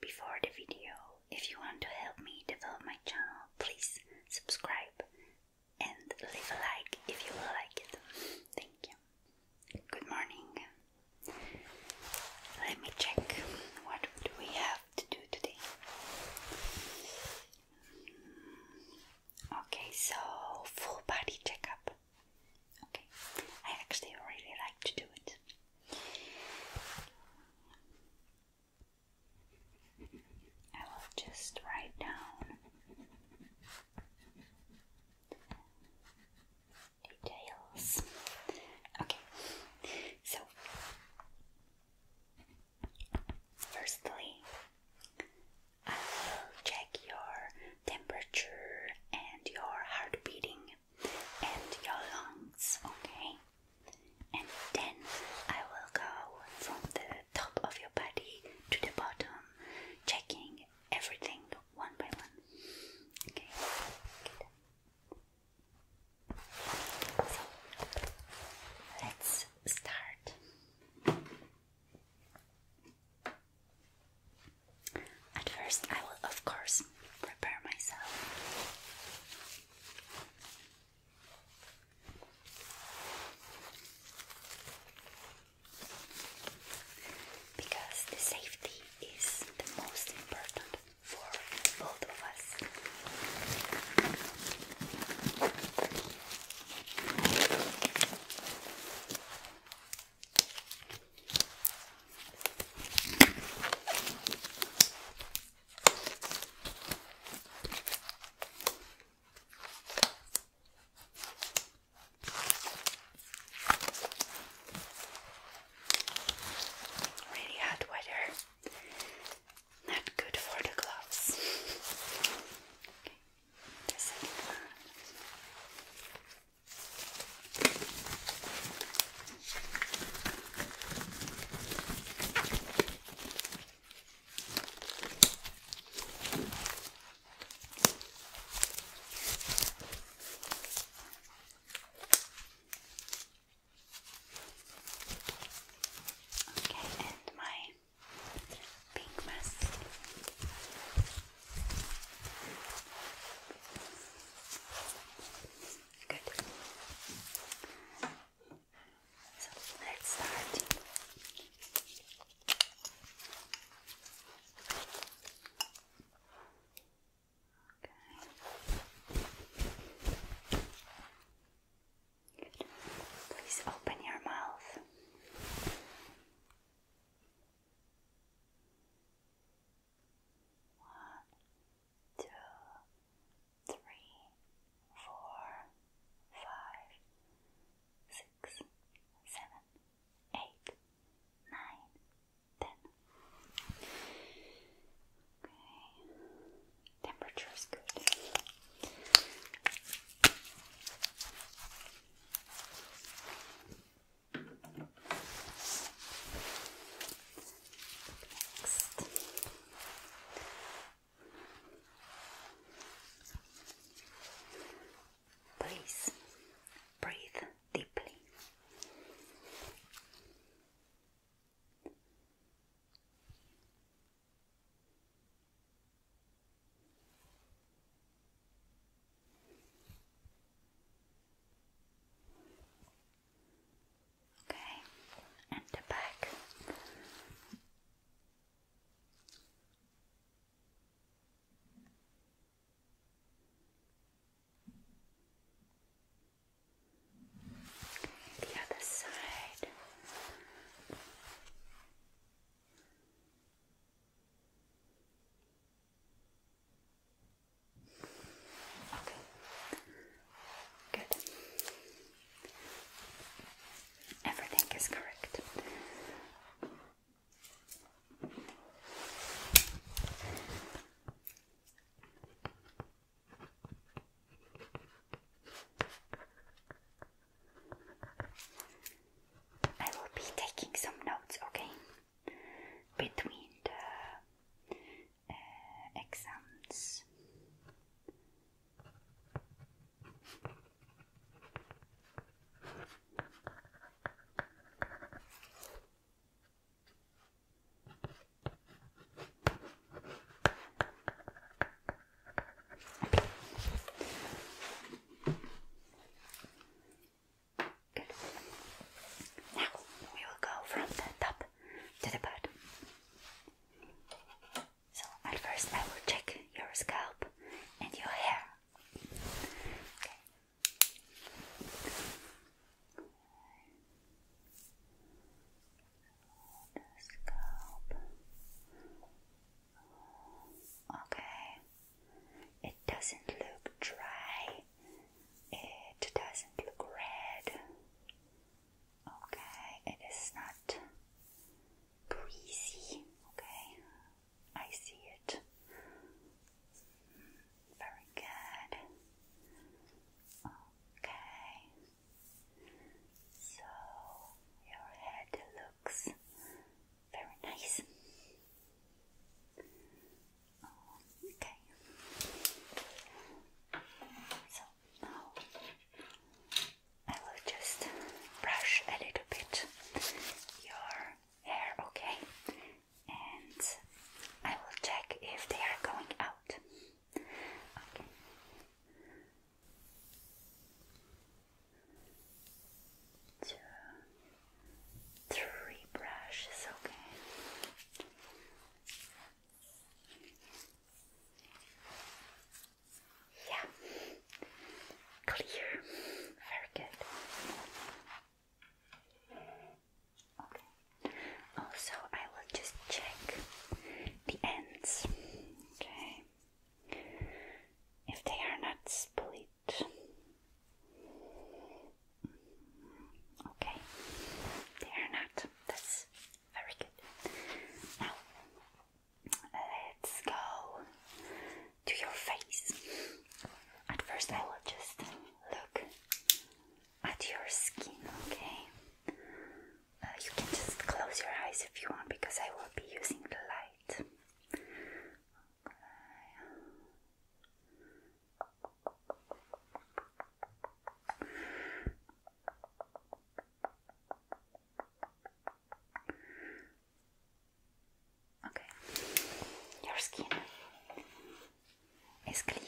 Before the video, if you want to help me develop my channel, please subscribe and leave a like if you will like it. Thank you. Good morning. Let me check what do we have to do today. Okay, so full body checkup. Okay, I actually really like to do it. I will just write down details. Okay, so firstly, I will check your temperature and your heart beating and your lungs, okay? And then I will go from the top of your body to the bottom, checking everything one by one. Okay. So let's start. At first, I will, of course, prepare myself. Because the safety is the most important for both of us. Really hot weather. Not good for the gloves. Okay, and my pink mask. Good. So let's start. Okay. Please open your mouth. One, two, three, four, five, six, seven, eight, nine, ten. Okay, temperature is good. Please breathe deeply. Okay, and the back. The other side. Good. Everything is correct. I will be taking some notes, okay? Between the uh, exams. Now we will go from the top to the bottom. So at first I will check your scalp and your hair. Okay. Okay, it doesn't look dry, it doesn't look red. Okay, it is not greasy. Okay, I see it. Very good. Okay, so your head looks very nice. Oh, okay. So now I will just brush a little bit your hair, okay? And I will check if they are going out. Okay two, three brushes, okay. Yeah, clear, very good. Okay, also, I will just check the ends, okay if they are not split. Okay, they are not. That's very good. Now, let's go to your face. At first, I will just look at your skin, okay? Uh, you can just close your eyes if you want because I will be using the light. Okay, your skin is clear,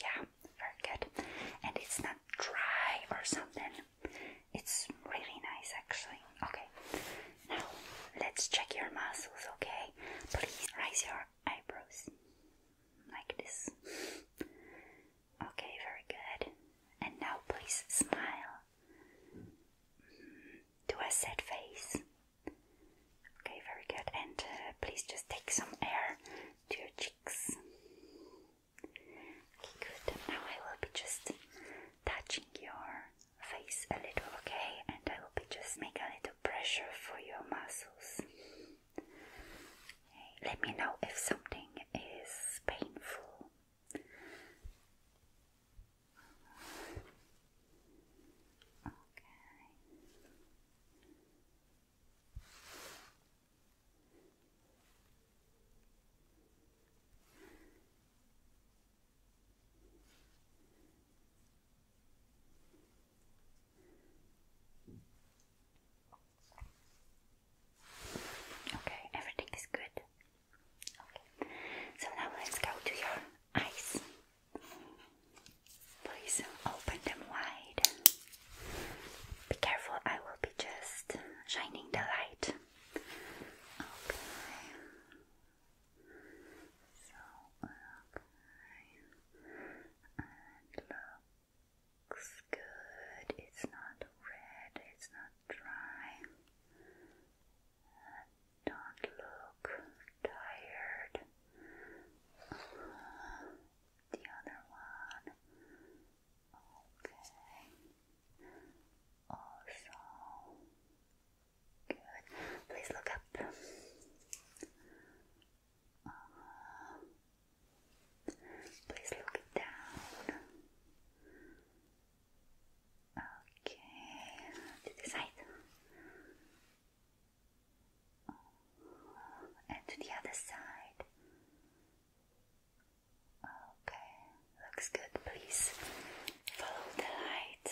yeah, very good, and it's not dry or something. It's really nice actually. Okay, now let's check your muscles, okay? Please raise your eyebrows like this. Okay, very good. And now please smile. Do a sad face. Okay, very good. And uh, please just take some air to your cheeks. Okay, good. Now I will be just touching your face a little, okay? And I will be just make a little pressure for your muscles. Let me know if something is painful. Okay. Okay, everything is good. Okay, so now let's go to your eyes. Please open them wide. Be careful, I will be just shining the light Okay. So okay. And looks good. It's not red, it's not dry. And don't look tired. the other one Okay. Also, good. Please look up. Uh, please look down. Okay. To the side. And to the other side. Okay, looks good. Please follow the light.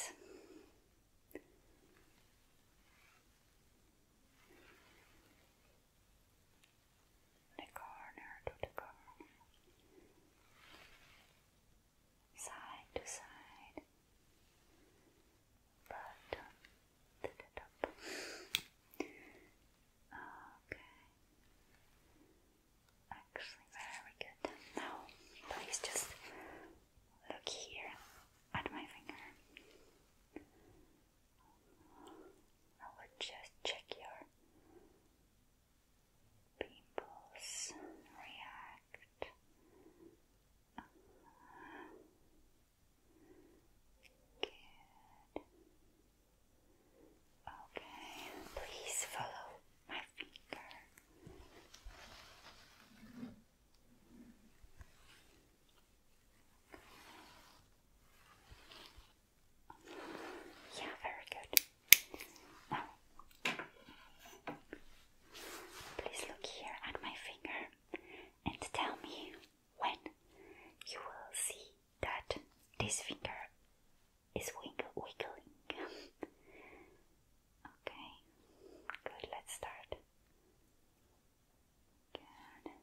The corner to the corner. Side to side. Bottom to the top. Okay. Actually, very good. Now, please just look here at my finger. I will just check your pimples react. Good. Okay, please follow my finger. Yeah, very good. Now, please look here at my finger and tell me when you will see that this finger is wiggle wiggling. okay, good, let's start. Good. Okay.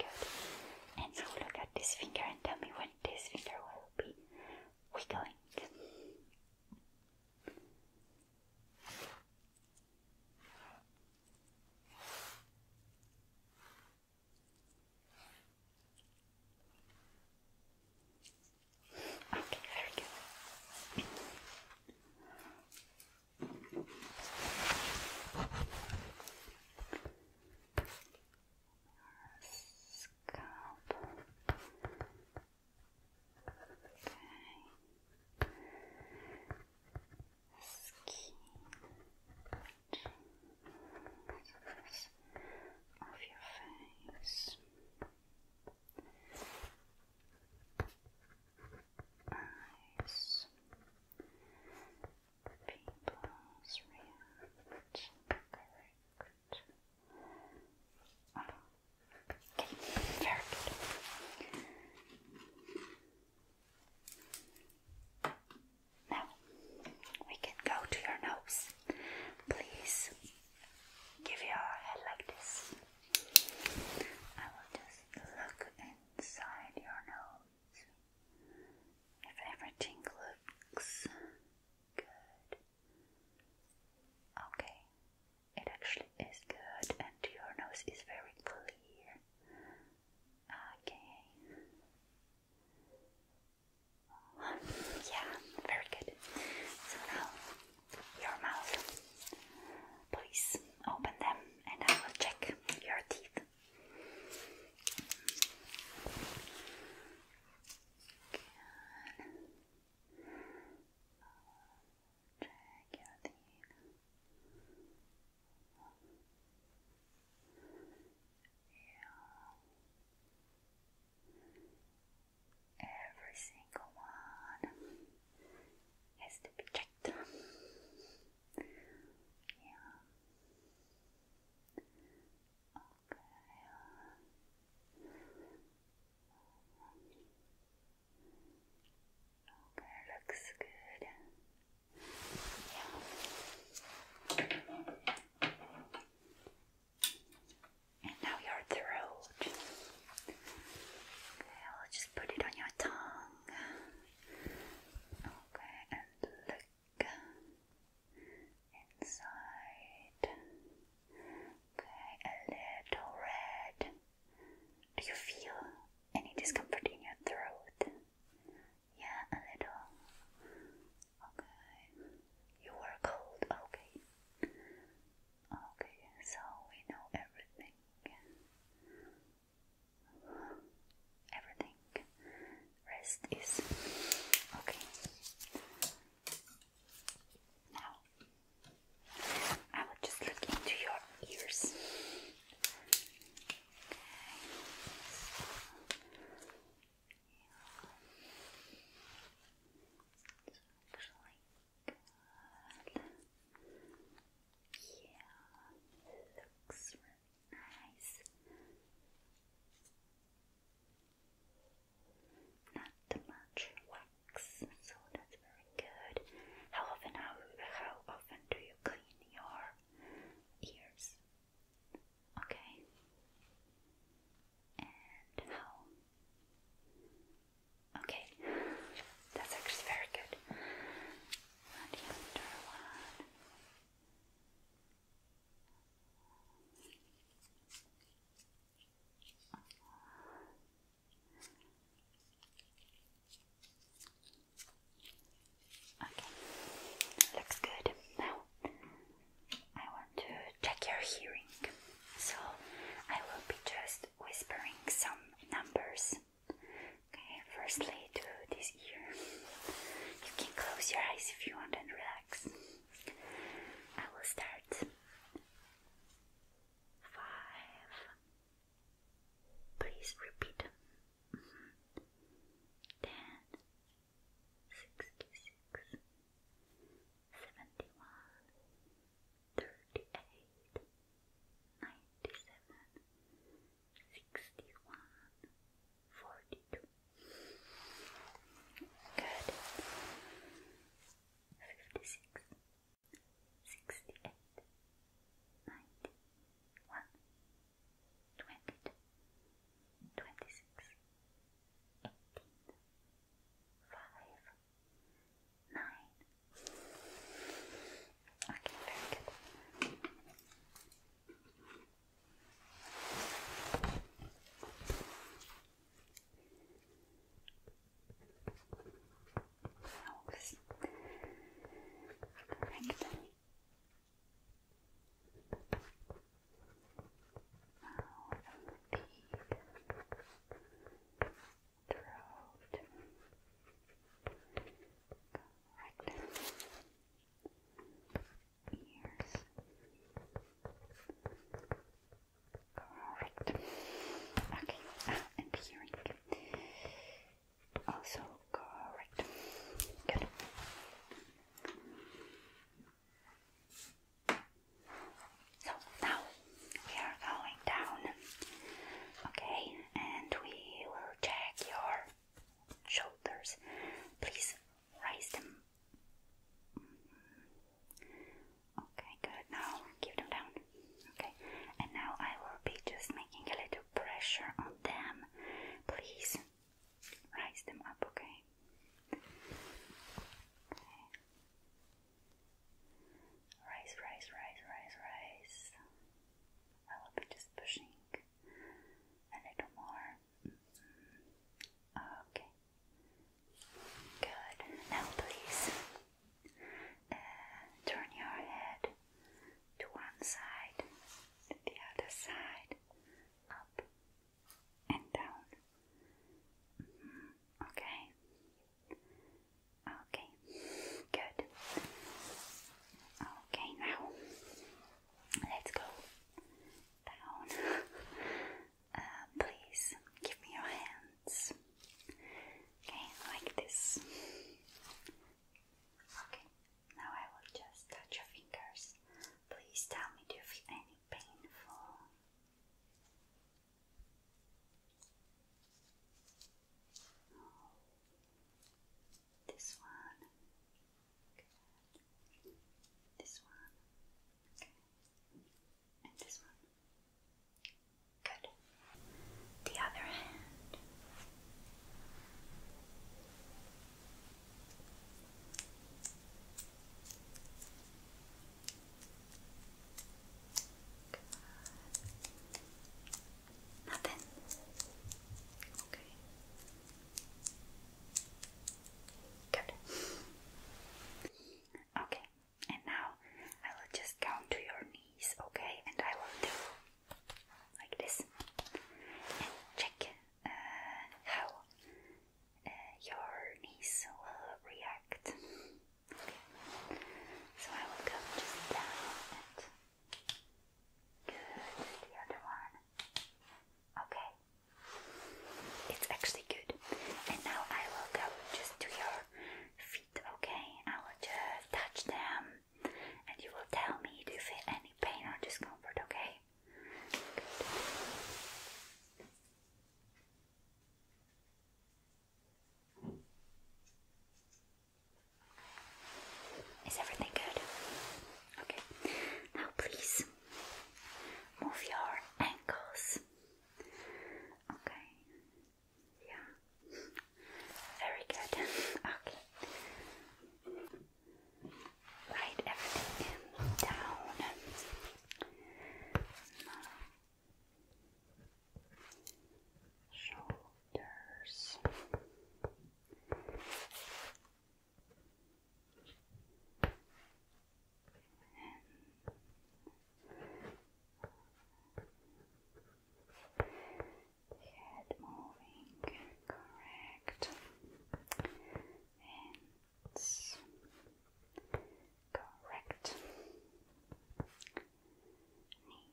And so look at this finger and tell me when this finger will be wiggling. Okay, very good scalp. Okay. Skin. of your face. Eyes people's reaction correct. okay, very Now we can go to your nose. Please give your head like this. I will just look inside your nose. If everything looks good. Okay, it actually is good, and your nose is very clear. Okay. Yeah, very good. So now, your mouth. Please open them and I will check your teeth. Check your teeth. Every single one has to be checked. Yeah. Okay, looks good. And now your throat. Okay, I'll just put it on your tongue. Okay, and look inside. Okay, a little red. Do you feel any discomfort in your throat? Yeah, a little. Okay, you were cold. Okay, okay, so we know everything everything rest is okay. Now I will just look into your ears. Okay. So, yeah, looks really nice. Not much wax, so that's very good. How often how how often do you clean your ears? Okay. And how? Okay, that's actually very good right here Okay, looks good. Now I want to check your hearing, so I will be just whispering some numbers Okay, firstly to this ear. You can close your eyes if you want and relax. I will start. Five. Please repeat. Mm-hmm. Ten. Sixty-six. Seventy-one. Thirty-eight. Ninety-seven sixty-one, forty-two. Good. Fifty-six, sixty-eight, ninety, one, twenty-two, twenty-six, eighteen, five, nine. Okay, very good. Always correct. Now, throat. Correct. Ears. Correct. Okay, and hearing. Also correct. Good. So now we are going down Okay, and we will check your shoulders. Please raise them. Okay, good. Now give them down. Okay, and now I will be just making a little pressure on them. Please rise them up, Okay. Rise, rise, rise, rise, rise. I will be just pushing a little more. Okay. Good. Now, please uh, turn your head to one side, to the other side, up and down. Mm-hmm. Okay. Okay, good. Okay, now let's go down. Uh, please give me your hands. Okay, like this. Okay, now I will just touch your fingers. Please tell me, do you feel any painful? This one. This one. And this one. Good. The other hand. Good. Nothing. Okay. Good. Okay, and now I will just count to your knees, okay? And I will do like this and check uh, how uh, your knees will react. So I will come just down Good. The other one. Okay. It's actually good. And now I will go just to your feet, okay? I will just touch them and you will tell me if you feel any pain or discomfort, okay? Is everything good? Okay. Now please move your ankles. Okay. Yeah. Very good. Okay. Right, everything down shoulders. head moving, correct. And correct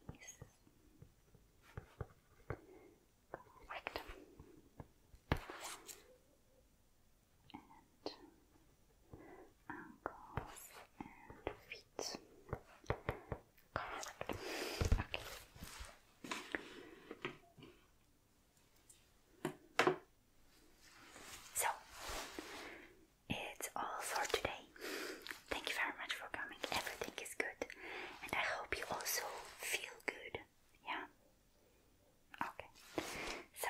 knees. Correct. And ankles and feet. Okay. So, it's all for today. Thank you very much for coming. Everything is good, and I hope you also feel good. Yeah. Okay. So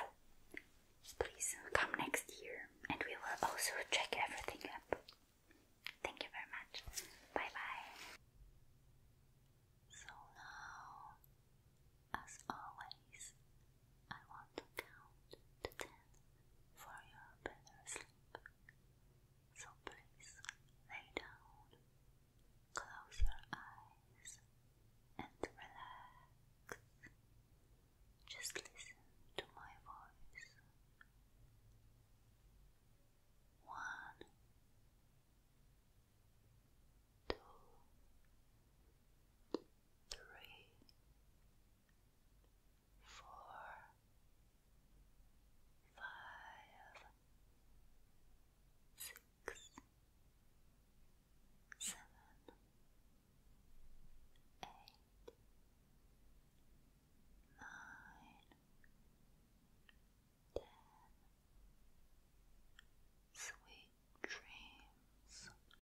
please come next year, and we will also check everything up. Thank you very much. Bye bye. So now, as always, I want to count to ten for your better sleep. So please lay down, close your eyes, and relax. Just listen to my voice. One, two, four, five, six, seven, eight, nine, ten. Sweet dreams,